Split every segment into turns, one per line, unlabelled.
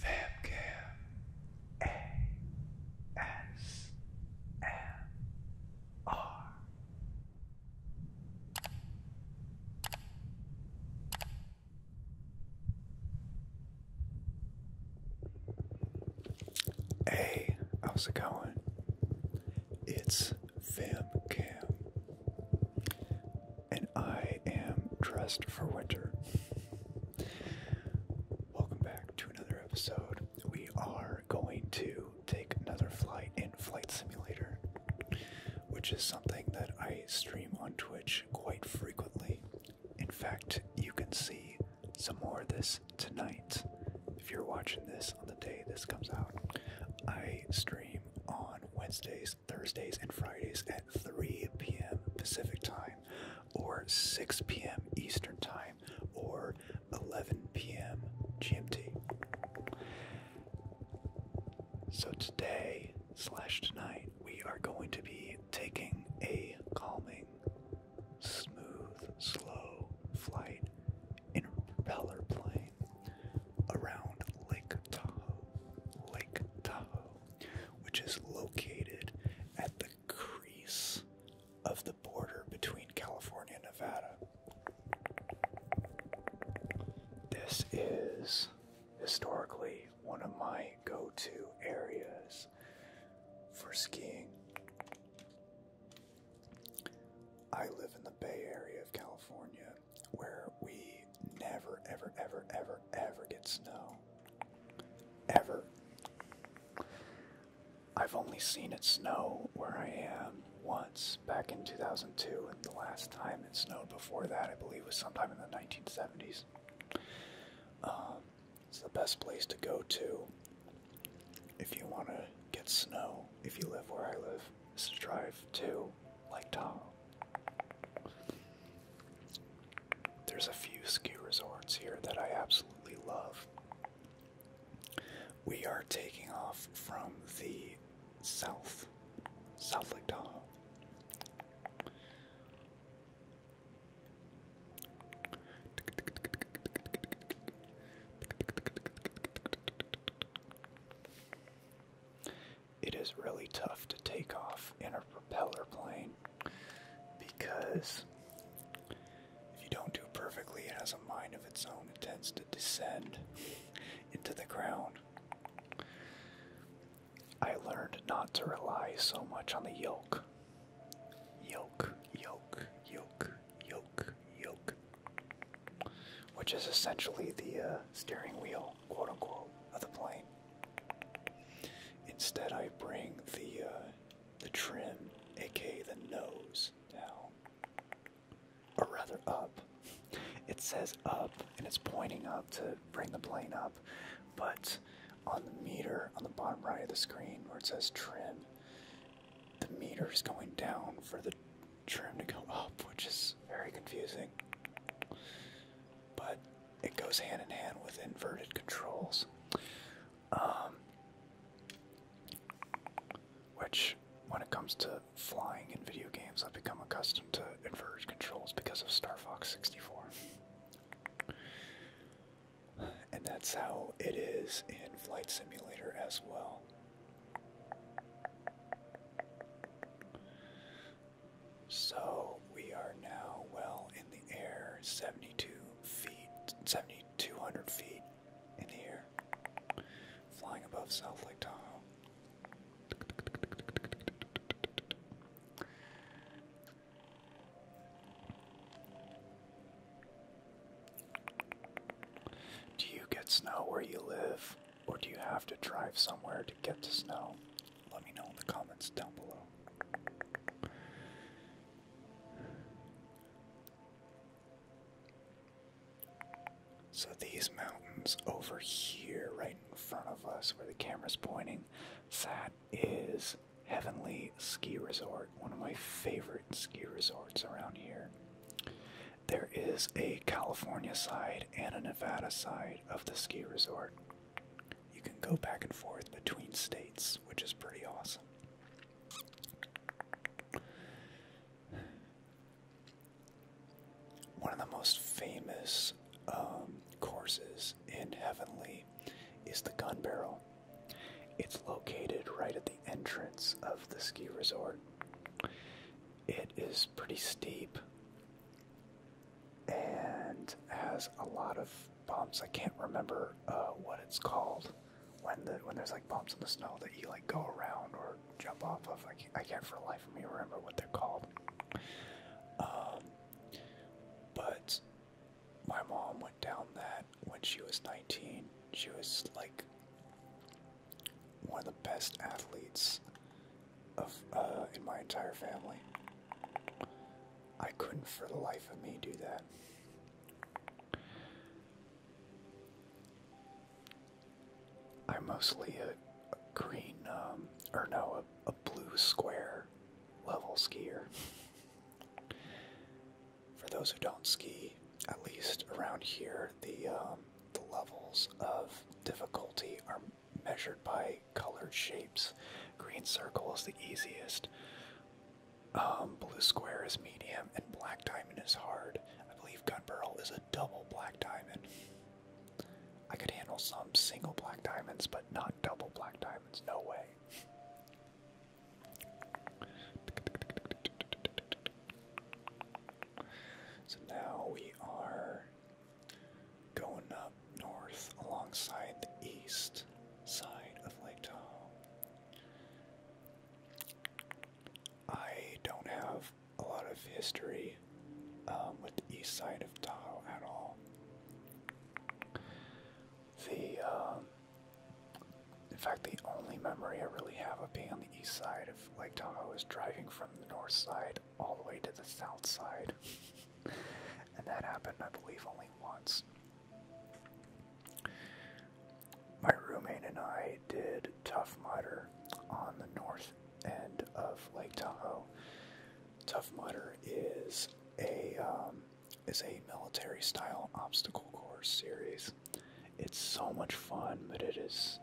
Famcam how's it going? It's Famcam and I am dressed for winter. Welcome back to another episode. We are going to take another flight in Flight Simulator, which is something that I stream on Twitch quite frequently. In fact, you can see some more of this tonight. If you're watching this on the day this comes out, I stream on Wednesdays Thursdays and Fridays at 3 p.m. Pacific Time, or 6 p.m. Eastern Time, or 11 p.m. GMT. So today slash tonight, we are going to be taking a calming, smooth, slow flight in a propeller plane around Lake Tahoe. Lake Tahoe which is located at the crease of the border between California and Nevada. This is historically one of my go to areas for skiing. I live in the Bay Area of California where we never, ever, ever, ever, ever get snow. Ever. I've only seen it snow where I am once back in 2002, and the last time it snowed before that, I believe, was sometime in the 1970s. Um, it's the best place to go to if you want to get snow, if you live where I live, is to drive to Lake Tahoe. There's a few ski resorts here that I absolutely love. We are taking off from the south, South Lake Tahoe. It is really tough to take off in a propeller plane because if you don't do it perfectly, it has a mind of its own. It tends to descend into the ground. I learned not to rely so much on the yoke. Yolk, yolk, yolk, yolk, yolk. Which is essentially the uh, steering wheel quote unquote, of the plane. Instead, I bring the uh, the trim, aka the nose, down, or rather up. It says up, and it's pointing up to bring the plane up, but on the meter on the bottom right of the screen where it says trim, the meter is going down for the trim to go up, which is very confusing. But it goes hand in hand with inverted controls. Um, which, when it comes to flying in video games, I've become accustomed to inverted controls because of Star Fox 64. And that's how it is in Flight Simulator as well. So we are now well in the air, 72 feet, 7,200 feet in the air, flying above South Lake Tahoe. Do you get snow where you live, or do you have to drive somewhere to get to snow? Let me know in the comments down below. So, these mountains over here, right in front of us, where the camera's pointing, that is Heavenly Ski Resort, one of my favorite ski resorts around here. There is a California side and a Nevada side of the ski resort you can go back and forth between states, which is pretty awesome. One of the most famous um, courses in Heavenly is the Gun Barrel. It's located right at the entrance of the ski resort. It is pretty steep, and has a lot of bumps. I can't remember uh, what it's called when the when there's like bumps in the snow that you like go around or jump off of. I can't, for the life of me remember what they're called. Um, but my mom went down that when she was 19. She was like one of the best athletes of uh, in my entire family. I couldn't for the life of me do that. I'm mostly uh, a, green, um, or no, a, a blue square level skier. For those who don't ski, at least around here, the um, the levels of difficulty are measured by colored shapes. Green circle is the easiest. Um, blue square is medium, and black diamond is hard. I believe gun barrel is a double black diamond. I could handle some single black diamonds, but not double black diamonds. No way. So now we are going up north alongside the east side of Lake Tahoe. I don't have a lot of history um, with the east side of Tahoe at all. The, um, in fact, the only memory I really have of being on the east side of Lake Tahoe is driving from the north side all the way to the south side. And that happened, I believe, only once. My roommate and I did Tough Mudder on the north end of Lake Tahoe. Tough Mudder is a um, is a military-style obstacle course series. It's so much fun, but it is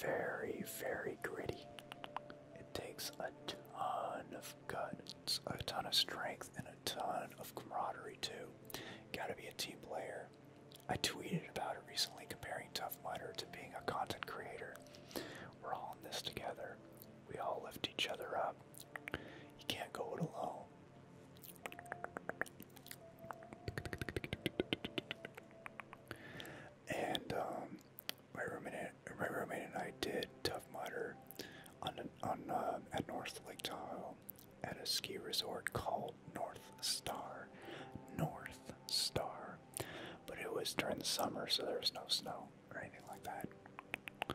very, very gritty. It takes a ton of guts, a ton of strength, and a ton of camaraderie too. Gotta be a team player. I tweeted about it recently comparing Tough Miner to being a content creator. We're all in this together. We all lift each other up. You can't go it alone. And um, my roommate, my roommate and I did Tough Mudder on, on uh, at North Lake Tahoe at a ski resort called North Star, North Star. But it was during the summer, so there was no snow or anything like that.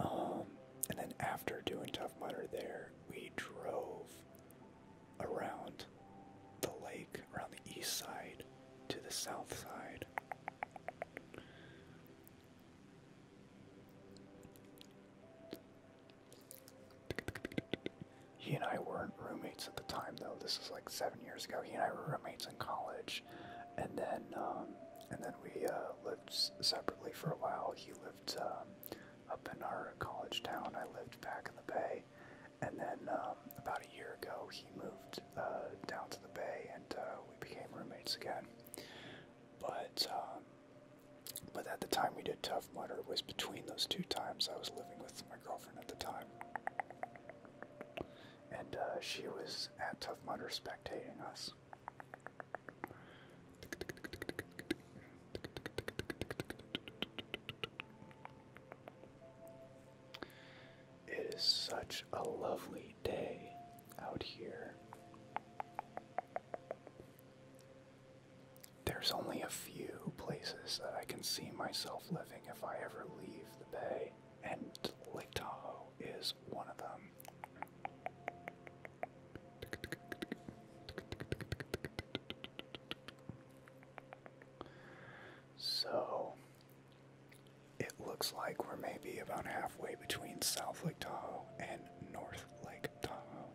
Um, and then after doing Tough Mudder there, we drove around the lake, around the east side to the south side. He and I weren't roommates at the time, though. This is like seven years ago. He and I were roommates in college, and then um, and then we uh, lived separately for a while. He lived um, up in our college town. I lived back in the Bay, and then um, about a year ago, he moved uh, down to the Bay, and uh, we became roommates again. But um, but at the time we did Tough Mudder was between those two times I was living with my girlfriend at the time, and uh, she was at Tough Mudder spectating us. It is such a lovely day out here. There's only a few places that I can see myself living if I ever leave the bay, and Lake Tahoe is one of them. So, it looks like we're maybe about halfway between South Lake Tahoe and North Lake Tahoe.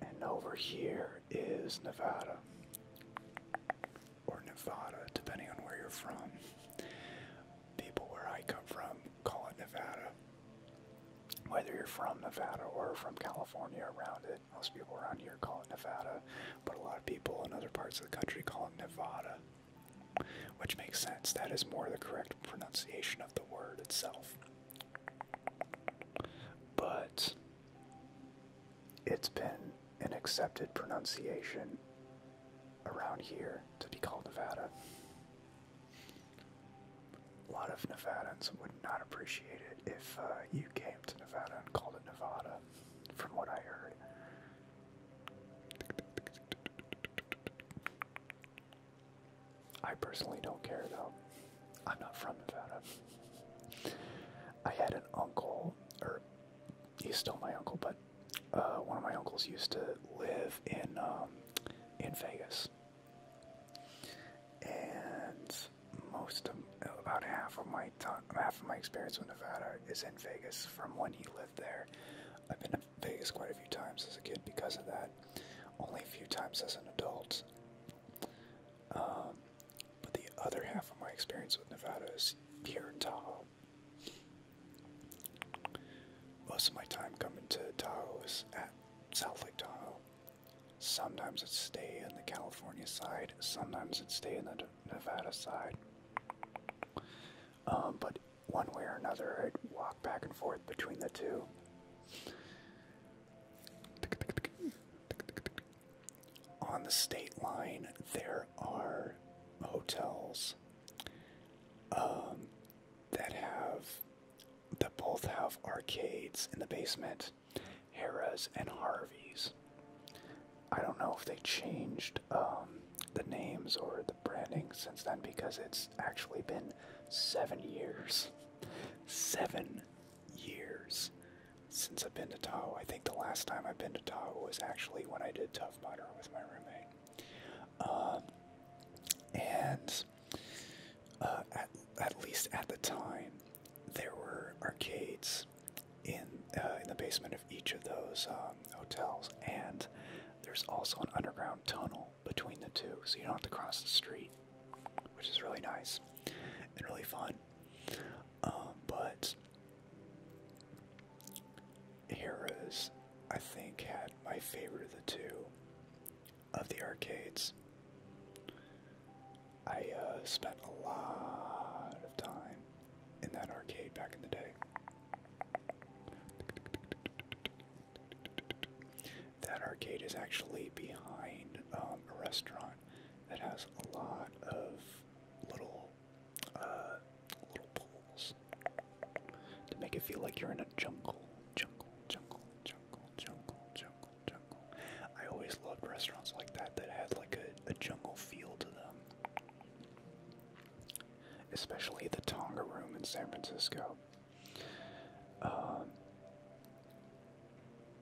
And over here is Nevada, or Nevada, depending on where you're from people where I come from call it Nevada. Whether you're from Nevada or from California around it, most people around here call it Nevada, but a lot of people in other parts of the country call it Nevada, which makes sense. That is more the correct pronunciation of the word itself. But it's been an accepted pronunciation around here to be called Nevada. A lot of Nevadans would not appreciate it if uh, you came to Nevada and called it Nevada, from what I heard. I personally don't care though. I'm not from Nevada. I had an uncle, or he's still my uncle, but uh, one of my uncles used to live in um, in Vegas, and most of about half of my time, half of my experience with Nevada is in Vegas from when he lived there. I've been to Vegas quite a few times as a kid because of that. Only a few times as an adult. Um, but the other half of my experience with Nevada is here in Tahoe. Most of my time coming to Tahoe is at South Lake Tahoe. Sometimes it stay in the California side, sometimes it stay in the Nevada side. Um, but one way or another, i walk back and forth between the two. On the state line, there are hotels um, that have that both have arcades in the basement, Harrah's and Harvey's. I don't know if they changed um, the names or the branding since then because it's actually been seven years. Seven years since I've been to Tahoe. I think the last time I've been to Tahoe was actually when I did Tough Mudder with my roommate. Um, and uh, at, at least at the time, there were arcades in uh, in the basement of each of those um, hotels, and there's also an underground tunnel between the two, so you don't have to cross the street, which is really nice and really fun. Um, but Heroes, I think, had my favorite of the two of the arcades. I uh, spent a lot of time in that arcade back in the day. That arcade is actually behind um, a restaurant that has a lot of little, uh, little pools to make it feel like you're in a jungle. Jungle, jungle, jungle, jungle, jungle, jungle. I always loved restaurants like that that had like a, jungle feel to them. Especially the Tonga Room in San Francisco. Um,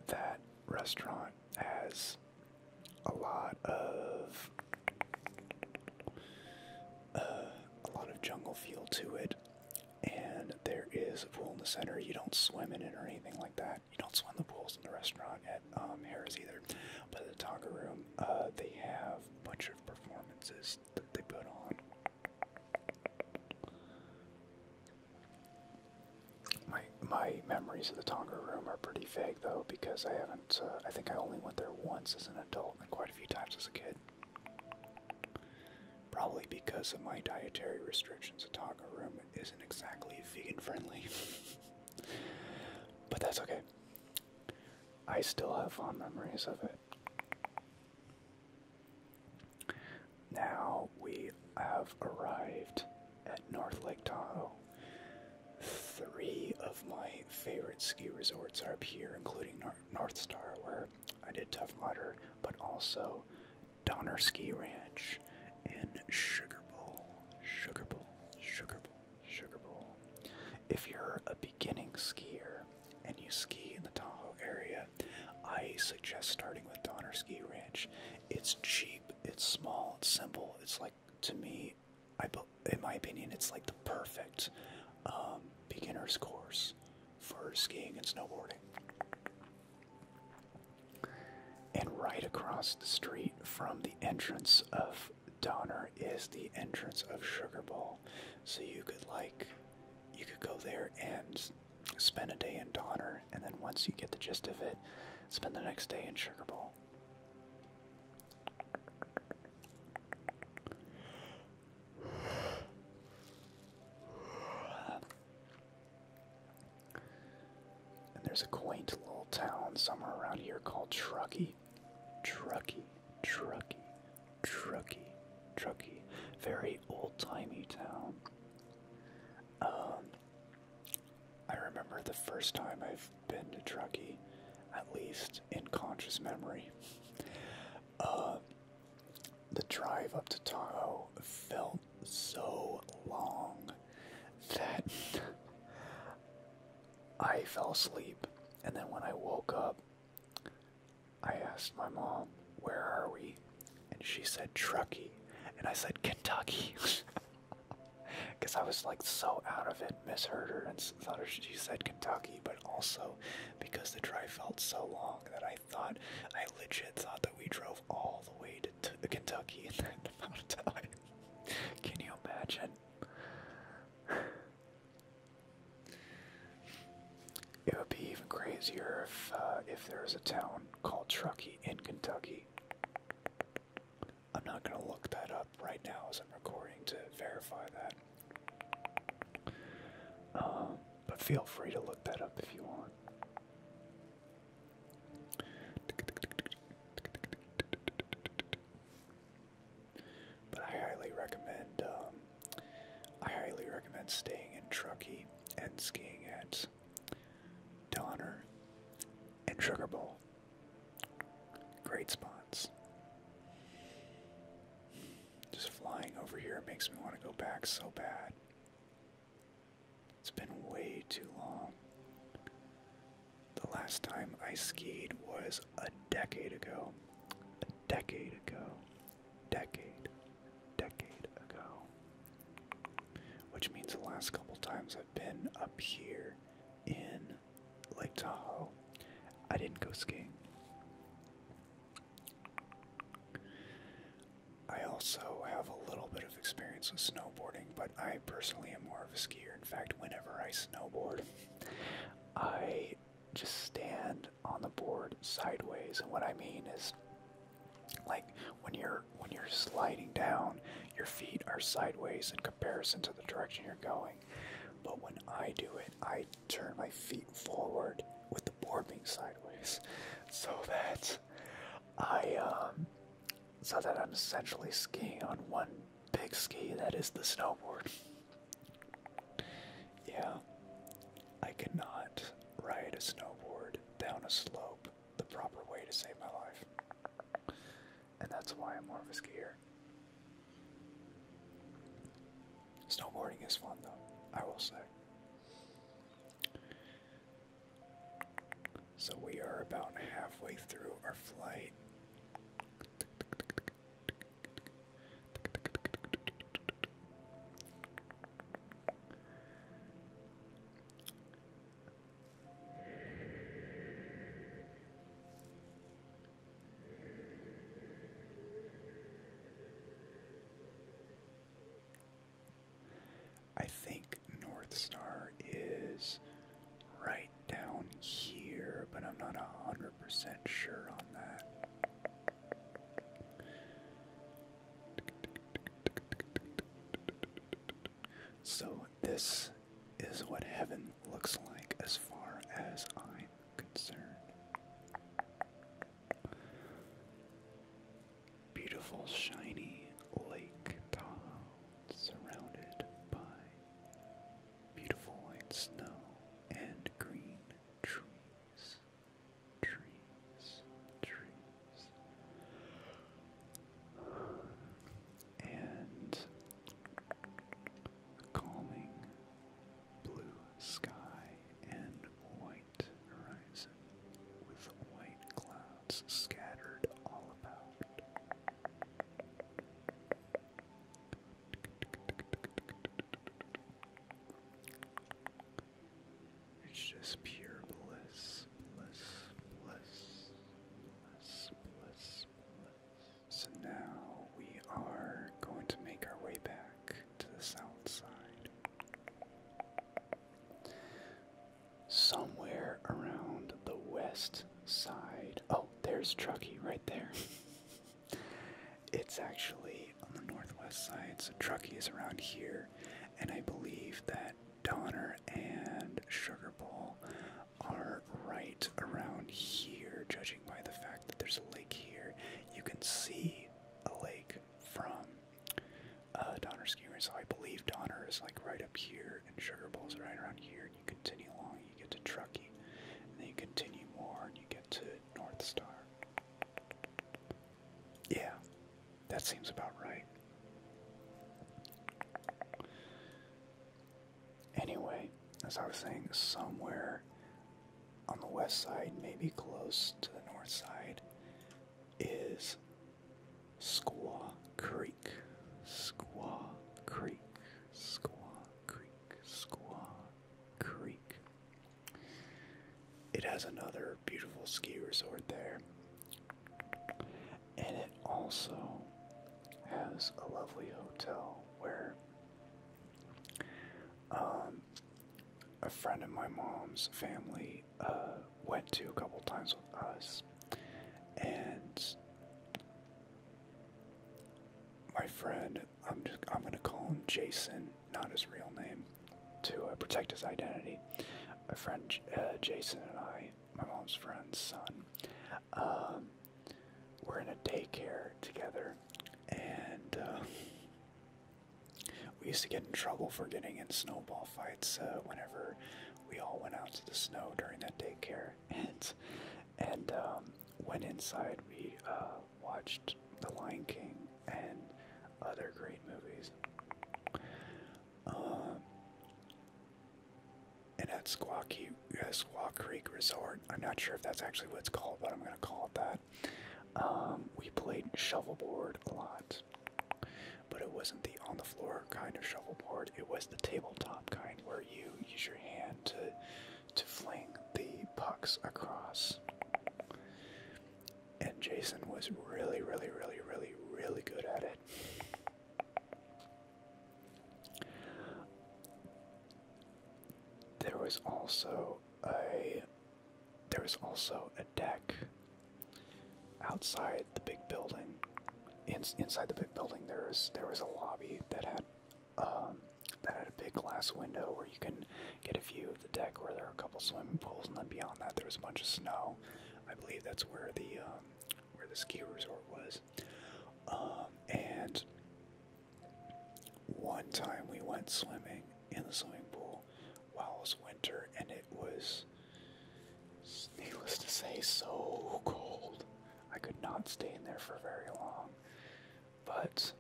that restaurant has a lot of a lot of jungle feel to it, and there is a pool in the center. You don't swim in it or anything like that. You don't swim the pools in the restaurant at um, Harris either. But at the Taga Room, uh, they have bunch of performances that they put on. My my memories of the Tonga room are pretty vague though because I haven't. Uh, I think I only went there once as an adult and quite a few times as a kid. Probably because of my dietary restrictions, a taco room isn't exactly vegan friendly. but that's okay. I still have fond memories of it. Now we have arrived at North Lake Tahoe. Three of my favorite ski resorts are up here, including North North Star, where I did Tough water, but also Donner Ski Ranch and Sugar Bowl, Sugar Bowl, Sugar Bowl, Sugar Bowl. If you're a beginning skier and you ski in the Tahoe area, I suggest starting with Donner Ski Ranch. It's cheap, it's small, it's simple, it's like to me, I in my opinion, it's like the perfect um, beginner's course for skiing and snowboarding. And right across the street from the entrance of Donner is the entrance of Sugar Bowl. So you could like you could go there and spend a day in Donner and then once you get the gist of it, spend the next day in Sugar Bowl. And there's a quaint little town somewhere around here called Truckee. Truckee, Truckee, Truckee, Truckee. Very old timey town. Um, I remember the first time I've been to Truckee, at least in conscious memory uh, the drive up to Tahoe felt so long that I fell asleep. And then when I woke up, I asked my mom, Where are we? And she said, Truckee. And I said, Kentucky. Because I was like so out of it, misheard her, and thought she said Kentucky, but also because the drive felt so long that I thought, I legit thought that we drove all the way to Kentucky in that amount of time. Can you imagine? It would be even crazier if uh, if there a town called Truckee in Kentucky. I'm not gonna look that up right now as I'm recording to verify that. Um, but feel free to look that up if you want. But I highly recommend. Um, I highly recommend staying in Truckee and skiing at Donner and Sugar Bowl. Great spot silence. Just flying over here makes me want to go back so bad. It's been way too long. The last time I skied was a decade ago. A decade ago. Decade. Decade ago. Which means the last couple times I've been up here in Lake Tahoe, I didn't go skiing. I also have a little bit of experience with snowboarding, but I personally am more of a skier. In fact, whenever I snowboard, I just stand on the board sideways, and what I mean is like when you're when you're sliding down, your feet are sideways in comparison to the direction you're going. But when I do it, I turn my feet forward with the board being sideways so that I um so that I'm essentially skiing on one big ski that is the snowboard. Yeah. I cannot ride a snowboard down a slope the proper way to save my life. And that's why I'm more of a skier here. Snowboarding is fun, though, I will say. So we are about halfway through our flight. I think North Star is right down here, but I'm not a hundred percent sure on that. So, this is what heaven looks like as far as I concern. Beautiful, shiny Lake Tahoe, surrounded by beautiful white snow and green trees. Trees, trees. And calming blue sky and white horizon with white clouds scattered all about. It's just pure bliss, bliss, bliss, bliss, bliss, bliss. So now we are going to make our way back to the south side. Somewhere around the west side. Oh, there's Truckee right there. it's actually on the northwest side, so Truckee is around here, and I believe that Donner and Sugar Bowl are right around here, judging by the fact that there's a lake here you can see a lake from uh, Donner Ski So I believe Donner is like right up here, and Sugar Bowl is right around here. And you continue along, you get to Truckee, and then you continue more, and you get to North Star. Yeah, that seems about right. Anyway, as I was saying, somewhere on the west side, maybe close to the north side, is Squaw Creek. Squaw Creek. Squaw Creek. Squaw Creek. It has another beautiful ski resort there. And it also has a lovely hotel where um, a friend of my mom's family uh, went to a couple times with us, and my friend, I'm just I'm gonna call him Jason, not his real name, to uh, protect his identity. My friend uh, Jason and I, my mom's friend's son, um, we're in a daycare together, and uh, we used to get in trouble for getting in snowball fights uh, whenever we all went out to the snow during that daycare, and and um, went inside. We uh, watched The Lion King and other great movies. Um, and at Squaw Creek, uh, Squaw Creek Resort, I'm not sure if that's actually what it's called, but I'm gonna call it that. Um, we played shuffleboard a lot, but it wasn't the on the floor kind of shuffleboard. It was the tabletop kind where you use your hand to to fling the pucks across. And Jason was really, really, really, really, really good at it. There was also a was also a deck outside the big building. inside the big building, there is there was a lobby that had um, that had a big glass window where you can get a view of the deck, where there are a couple swimming pools, and then beyond that, there was a bunch of snow. I believe that's where the um, where the ski resort was, um, and one time we went swimming in the swimming pool while it was winter, and it was, needless to say, so cold. I could not stay in there for very long, but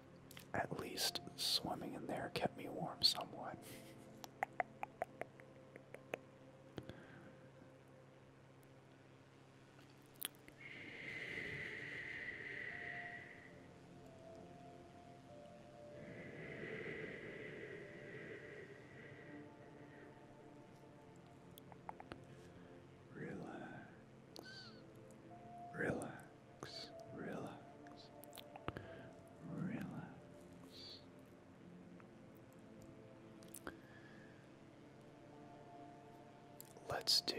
at least swimming in there kept me warm somewhat. Relax, relax, relax, relax. Let's do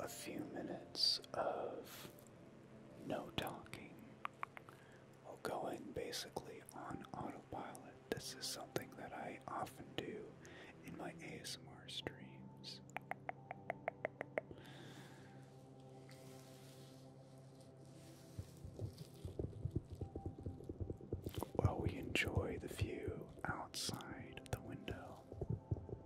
a few minutes of no talking. We're going basically on autopilot. This is something that I often do in my ASMR streams. While we enjoy the view outside the window.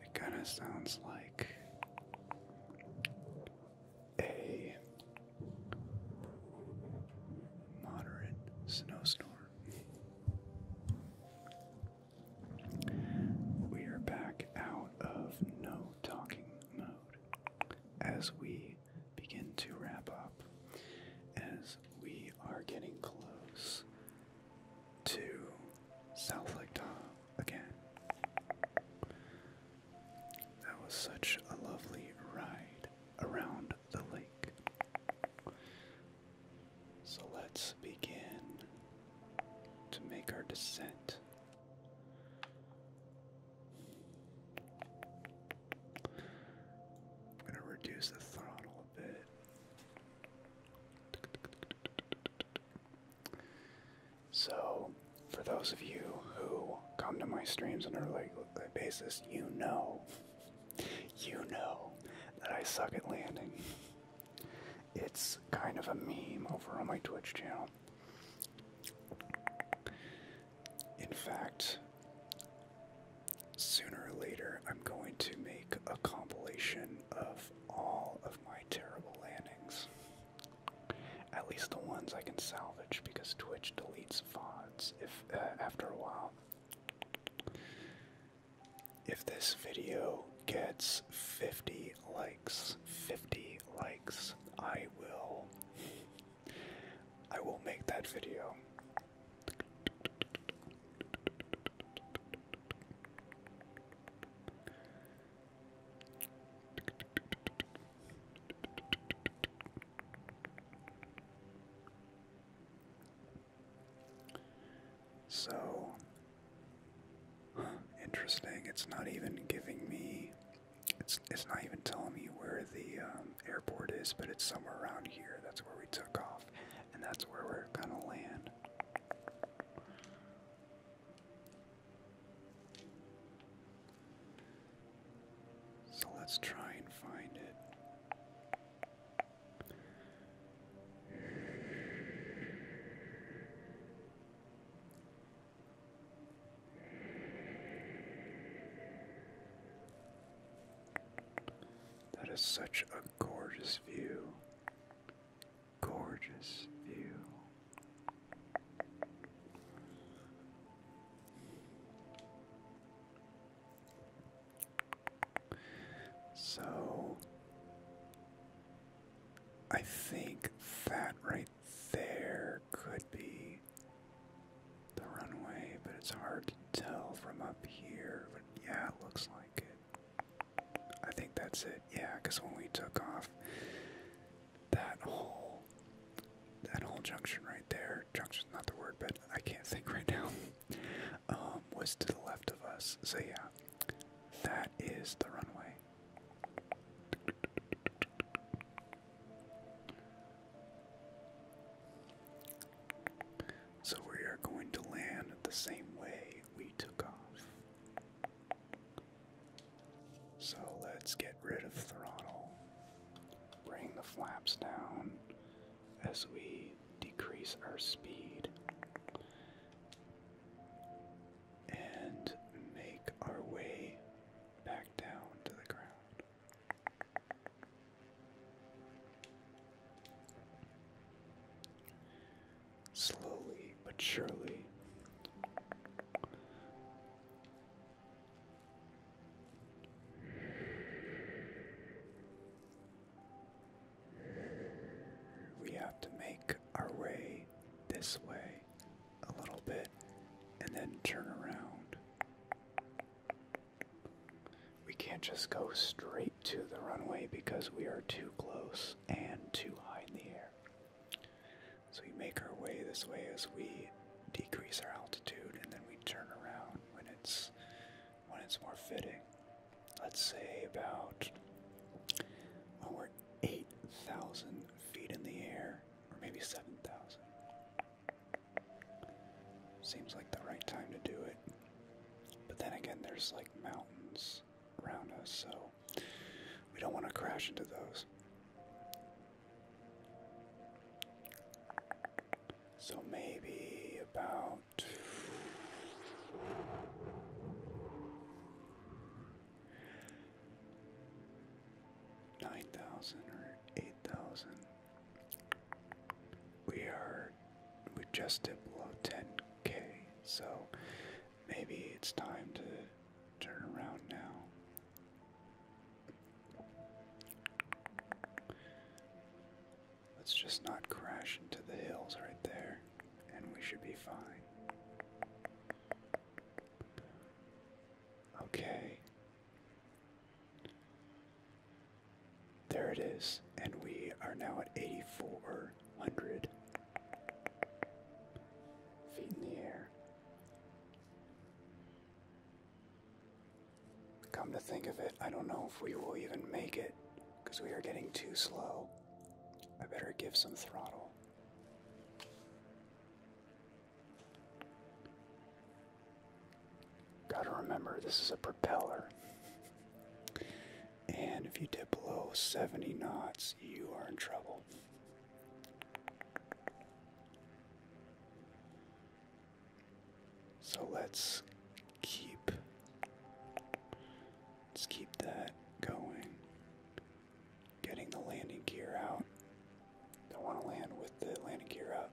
It kind of sounds like a moderate snowstorm. We are back out of no talking mode as we begin to wrap up, as we are getting close to South Lake Tahoe again. That was such a lovely ride around the lake. So let's begin to make our descent. I'm going to reduce the throttle a bit. So, for those of you who come to my streams on a regular basis, you know, you know that I suck at landing. It's kind of a meme over on my Twitch channel. In fact, sooner or later, I'm going to make a compilation of all of my terrible landings. At least the ones I can salvage because Twitch deletes VODs if uh, after a while. If this video gets 50 likes, 50 likes, I will I will make that video. So interesting. It's not even giving me. It's it's not even telling me where the um, airport is, but it's somewhere around here. That's where we took off, and that's where we're gonna land. So let's try and find it. That is such a gorgeous view. Gorgeous view. So I think that right there could be the runway, but it's hard to tell from up here. But yeah, it looks like it. I think that's it. Yeah, because when we took off, that whole that whole junction right there, junction's not the word, but I can't think right now, um, was to the left of us. So yeah, that is the runway. So we are going to land the same way we took off. So let's get rid of throttle. Bring the flaps down as we decrease our speed and make our way back down to the ground. Slowly but surely, we have to make our way this way a little bit and then turn around. We can't just go straight to the runway because we are too close and too high in the air. So we make our way this way as we decrease our altitude and then we turn around when it's when it's more fitting. Let's say about when we're 8,000 feet in the air, or maybe 7,000. Seems like the right time to do it. But then again, there's like mountains around us, so we don't want to crash into those. So maybe about nine thousand or eight thousand. We are we just did below ten K, so maybe it's time to turn around now. Let's just not crash into the hills right there, and we should be fine. Okay. There it is, and we are now at 8,400 feet in the air. Come to think of it, I don't know if we will even make it because we are getting too slow. I better give some throttle. Gotta remember, this is a propeller. And if you dip below 70 knots, you are in trouble. So let's keep let's keep that going. Getting the landing gear out. Don't want to land with the landing gear up.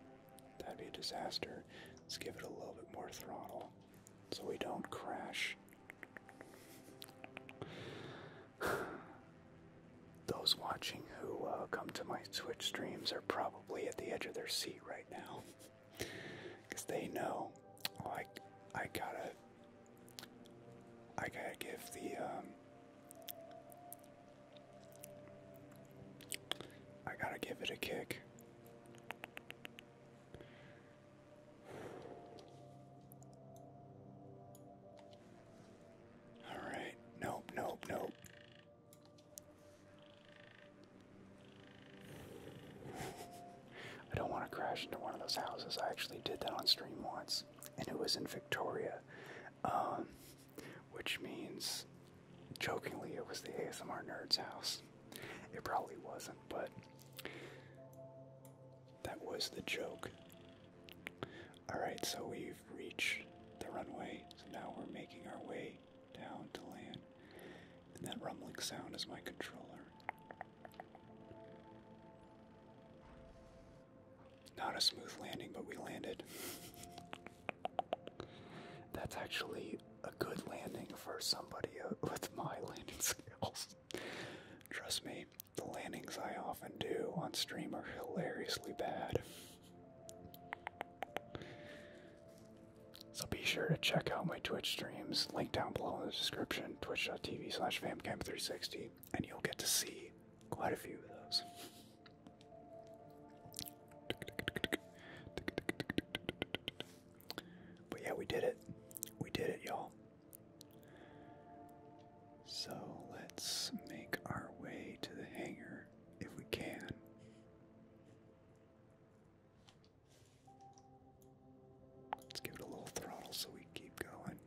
That'd be a disaster. Let's give it a little bit more throttle so we don't crash. Those watching who uh, come to my Twitch streams are probably at the edge of their seat right now, because they know, oh, I, I gotta, I gotta give the, um, I gotta give it a kick. All right. Nope, nope, nope. I don't want to crash into one of those houses. I actually did that on stream once, and it was in Victoria, um, which means, jokingly, it was the ASMR Nerd's house. It probably wasn't, but that was the joke. Alright, so we've reached the runway, so now we're making our way down to land. And that rumbling sound is my controller. Not a smooth landing, but we landed. That's actually a good landing for somebody uh, with my landing skills. Trust me, the landings I often do on stream are hilariously bad. So be sure to check out my Twitch streams, link down below in the description, twitch.tv slash famcam360, and you'll get to see quite a few of those. But yeah, we did it. We did it, y'all. So let's make our way to the hangar if we can. Let's give it a little throttle so we keep going.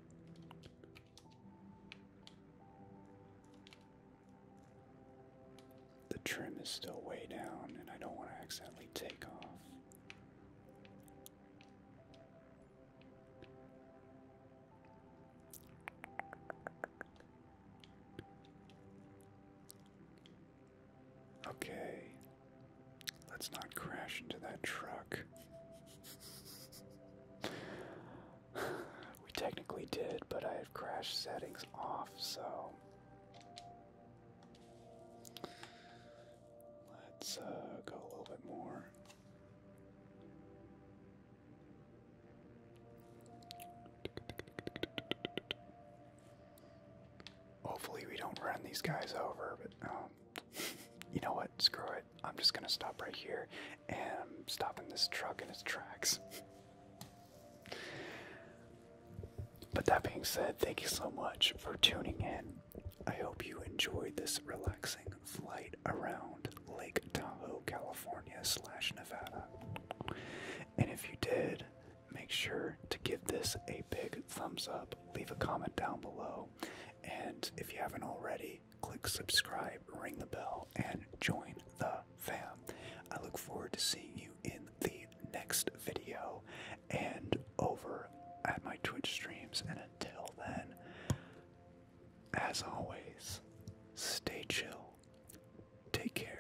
The trim is still way down, and I don't want to accidentally take off. Okay, let's not crash into that truck. we technically did, but I have crash settings off, so. Let's uh, go a little bit more. Hopefully, we don't run these guys over, but um, you know what? Screw it. I'm just gonna stop right here and I'm stopping this truck in its tracks. But that being said, thank you so much for tuning in. I hope you enjoyed this relaxing flight around Lake Tahoe, California slash Nevada. And if you did, make sure to give this a big thumbs up, leave a comment down below, and if you haven't already, click subscribe, ring the bell, and join the fam. I look forward to seeing you in the next video and over at my Twitch streams. And until then, as always, stay chill. Take care.